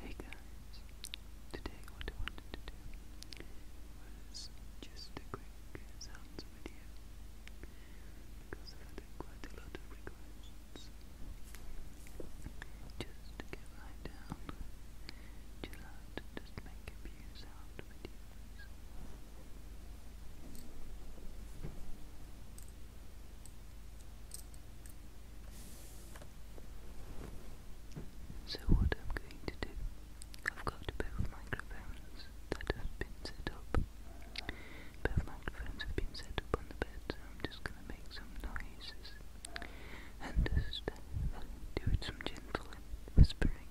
Hey guys, today what I wanted to do was just a quick video because I've quite a lot of requests just to go lie down, chill out, just make a few sound videos so, what I'm going to do, I've got both microphones that have been set up. Both microphones have been set up on the bed, I'm just going to make some noises and just uh, do it some gentle whispering.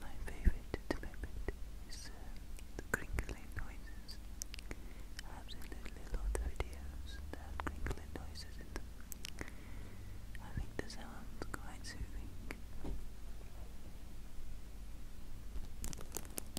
My favorite equipment is uh, the crinkling noises. I absolutely love the videos that crinkling noises in them. I think the sound's quite soothing.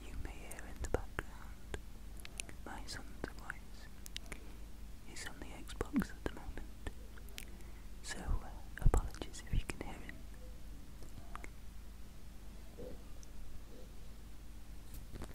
You may hear in the background my son's voice. He's on the Xbox at the moment, so uh, apologies if you can hear him.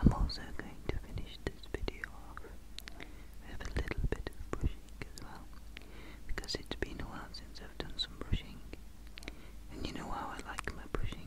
I'm also going to finish this video off with a little bit of brushing because it's been a while since I've done some brushing, and you know how I like my brushing.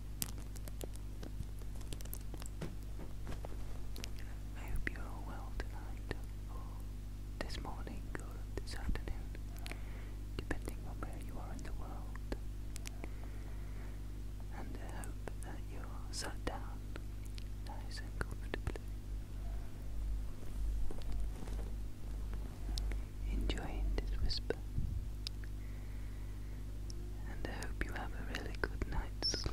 I hope you are well tonight, this morning, or this afternoon, depending on where you are in the world. And I hope that you are sat down nice and comfortably, enjoying this whisper and I hope you have a really good night's sleep.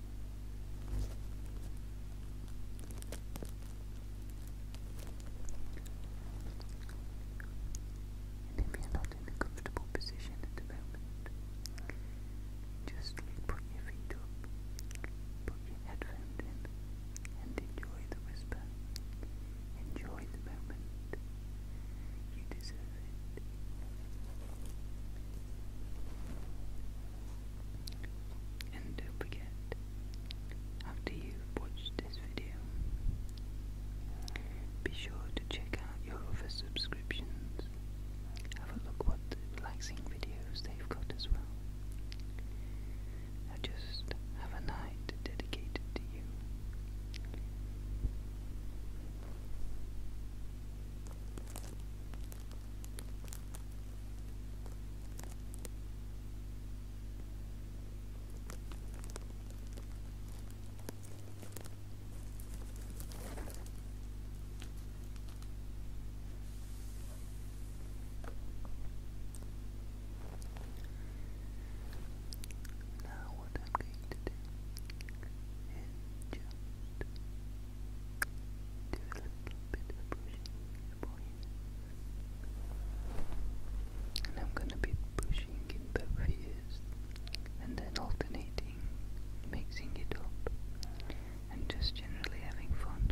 And if you're not in a comfortable position at the moment, just put your feet up, put your headphones in, and enjoy the whisper. Enjoy the moment. You deserve it. And don't forget, after you've watched this video, be sure to check out your other subscriptions. Have a look what relaxing videos they've got as well. Now just have a night dedicated to you. Now, what I'm going to do is just do a little bit of brushing for And I'm gonna be pushing in both ears and then alternating, mixing it up, and just generally having fun.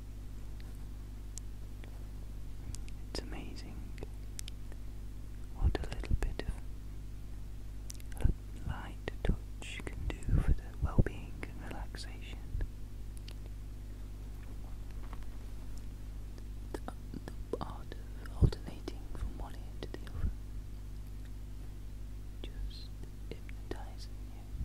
It's amazing what a little bit of light touch can do for the well being and relaxation. The, art of alternating from one ear to the other just hypnotizing you.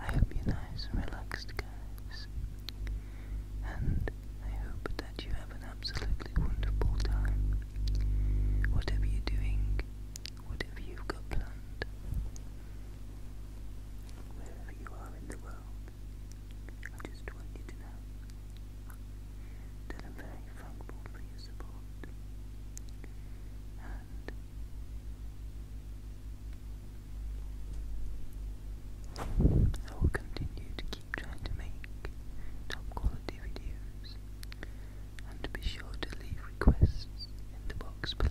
I hope you're nice and relaxed, guys, and I hope that you have an an absolutely wonderful time. Whatever you're doing, whatever you've got planned, wherever you are in the world, I just want you to know that I'm very thankful for your support and I will continue to keep trying to make top quality videos and be sure to leave requests in the box below.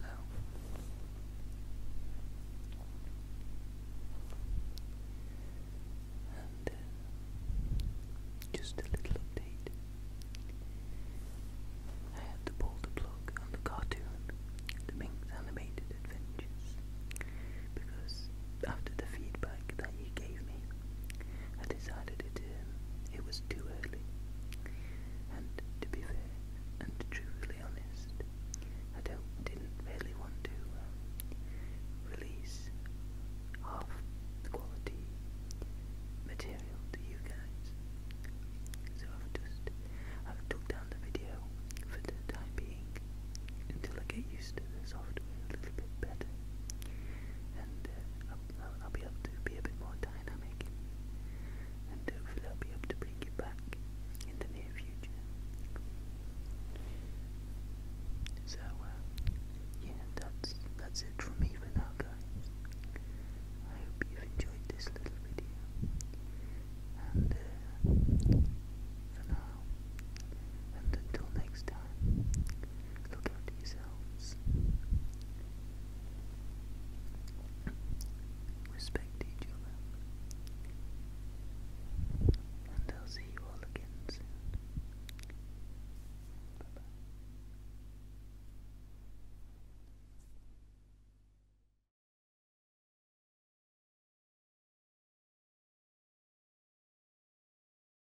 And uh, just a little update. I had to pull the plug on the cartoon, The Mink's Animated Adventures, because after the feedback that you gave me, I decided it, um, it was too early. And to be fair and truly honest, I don't, really want to uh, release half the quality material to you guys. So I've just, I've took down the video for the time being until I get used to the software a little bit better and uh, I'll, be able to be a bit more dynamic, and hopefully be able to bring you back in the near future. So, uh, yeah, that's that's it from me for now, guys. I hope you've enjoyed this little video, and uh, for now, and until next time. Look after yourselves. Respect each other. And I'll see you all again soon. Bye